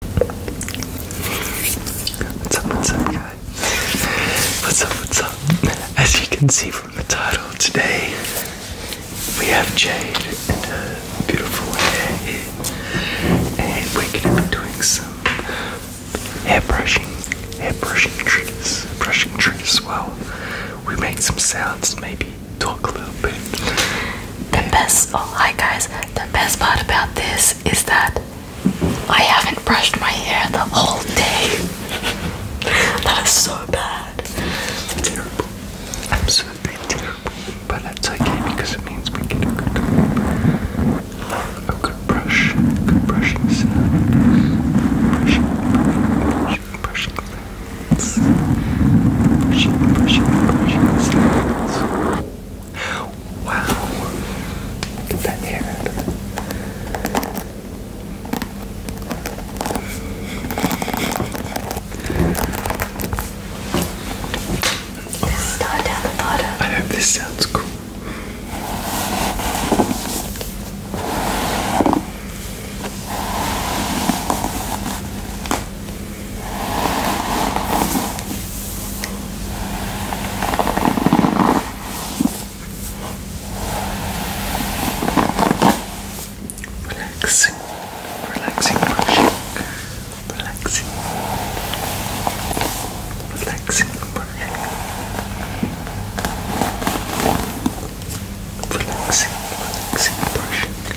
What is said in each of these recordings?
What's up, what's up, guys? What's up, what's up? As you can see from the title, today we have Jade and beautiful hair and we're going to be doing some hair brushing, hair brushing triggers, brushing triggers. Well, we make some sounds, maybe talk a little bit, the best hi guys the best part about this is that I haven't brushed my hair the whole day that is so bad it's terrible absolutely terrible but that's okay because it means we get a good brush good brushing sound brushing brushing brushing sounds. Brushing, brushing, brushing sounds. Wow. Look at that hair. I hope this sounds cool. Relaxing, relaxing brushing, relaxing, relaxing brushing, relaxing, relaxing brushing,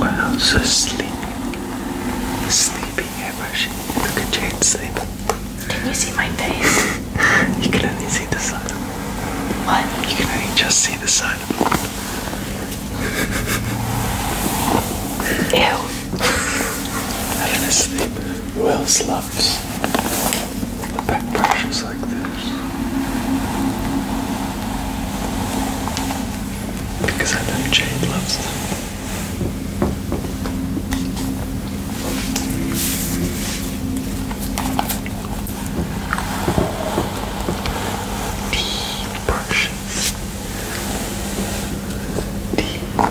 Wow, so sleep. Sleepy airbrush. Look at Jane's sleep. Can you see my face? you can only see the side of it. What? You can only just see the side of it. Ew. Having a sleep. Well slept. The back brushes like this. Because I know Jade loves them. Deep brushes. Deep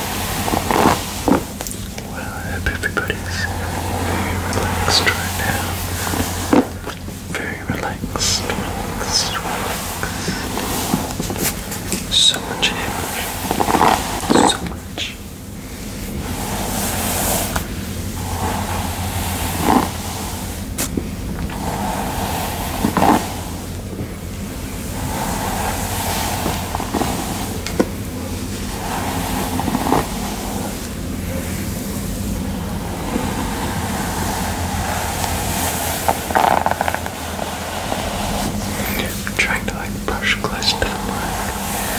Well, I hope everybody's very relaxed right now. Very relaxed, So much energy. So much. I'm trying to like brush close to the mic.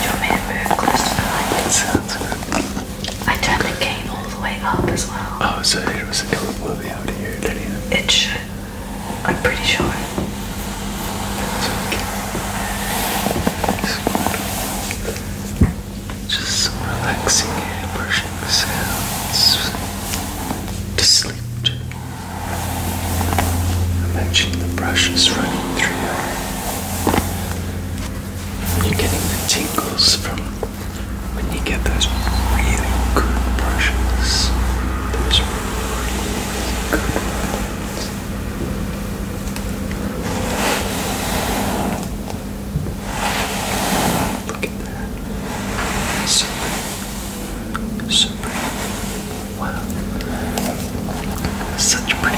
You want me to move close to the mic? It sounds good. I turned the gain all the way up as well. Oh, so it was a it will be able to hear it anyway. It should. I'm pretty sure. Just some relaxing hair brushing sounds to sleep to. Imagine the brushes running through your You're getting the tingles from when you get those really good brushes. Those Look at that. Super. Super. Wow. Such pretty.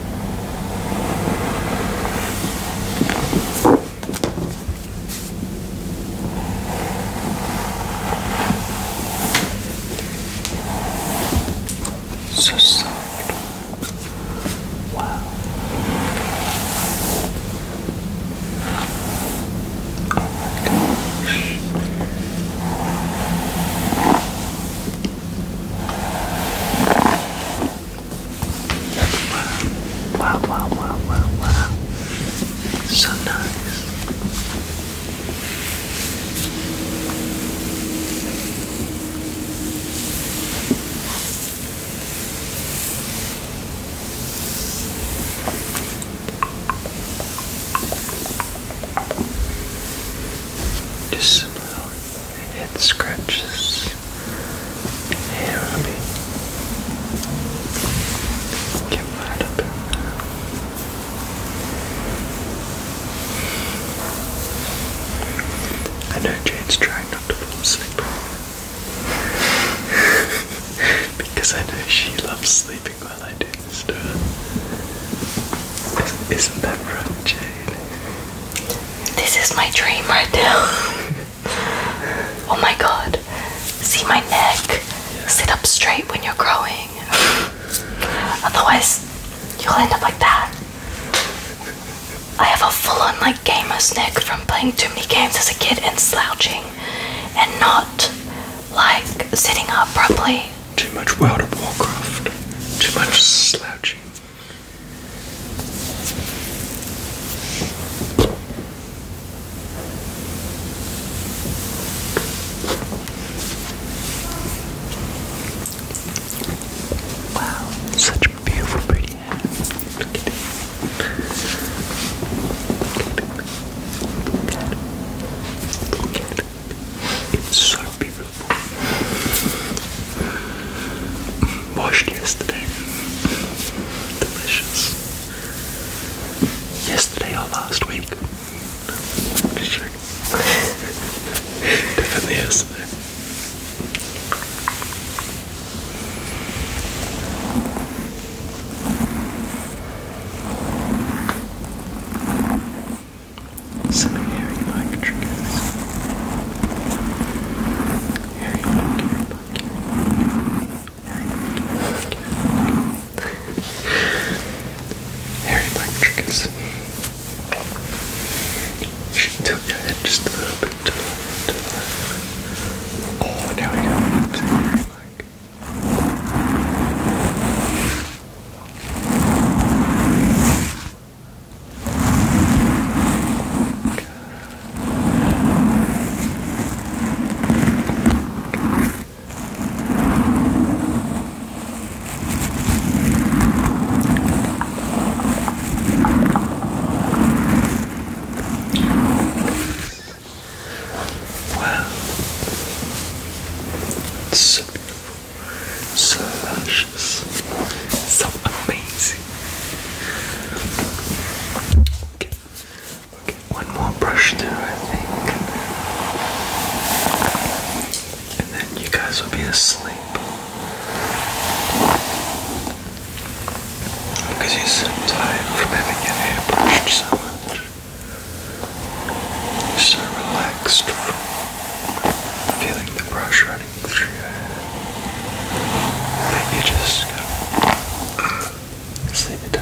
So soft. Wow. Oh my gosh. Wow, wow, wow, wow, wow. So nice. Just it scratches heavily. Get right up I know Jane's trying not to fall asleep because I know she loves sleeping while I do this to her. Isn't that right, Jane? This is my dream right now. oh my god. See my neck? Sit up straight when you're growing. Otherwise, you'll end up like that. I have a full on like gamer's neck from playing too many games as a kid and slouching and not like sitting up properly. Too much World of Warcraft. Too much slouching. Wow, such beautiful pretty Look at it. Look at it. Look at it. so lot yesterday. Delicious. Yesterday or last week? Definitely yesterday some hairy-like triggers. Hairy-like, hairy-like, hairy You should tilt your head just a little bit Oh, there we go. Hairy-like. Well, it's so beautiful so luscious, so amazing. Okay, one more brush there, I think, and then you guys will be asleep. Because you're tired from having your hair brushed so much. So relaxed feeling the brush running through your hair that just sleep it down.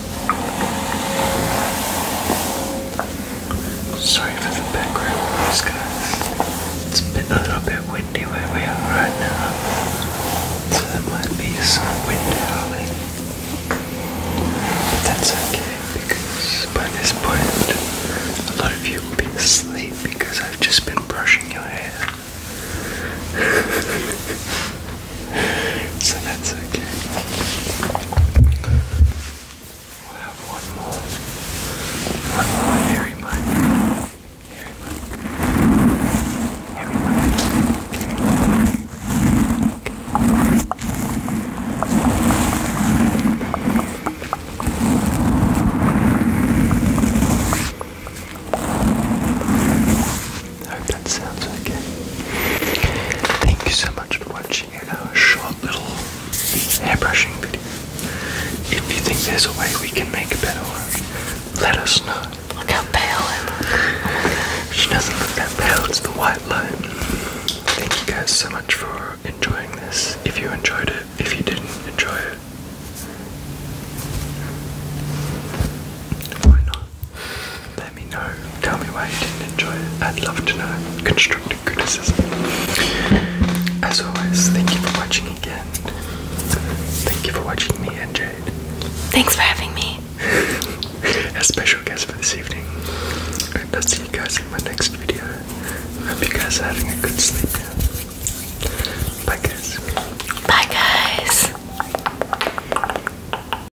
Sorry for the background noise, guys. It's a, bit, a little bit windy where we are right now, so there might be some wind howling. But that's okay because by this point, a lot of you will be asleep because I've just been brushing your hair. so that's okay. We'll have one more. One more I hope that sounds okay. Thank you so much for watching our short little hairbrushing video. If you think there's a way we can make a better one, let us know. Look how pale I look. She doesn't look that pale, it's the white light. Thank you guys so much for enjoying this. If you enjoyed it, if you didn't enjoy it, why not? Let me know. Tell me why you didn't enjoy it. I'd love to know. Constructive criticism. As always, thank you for watching again. Thank you for watching me and Jade. Thanks for having me. A special guest for this evening. And I'll see you guys in my next video. Hope you guys are having a good sleep Bye guys. Bye guys.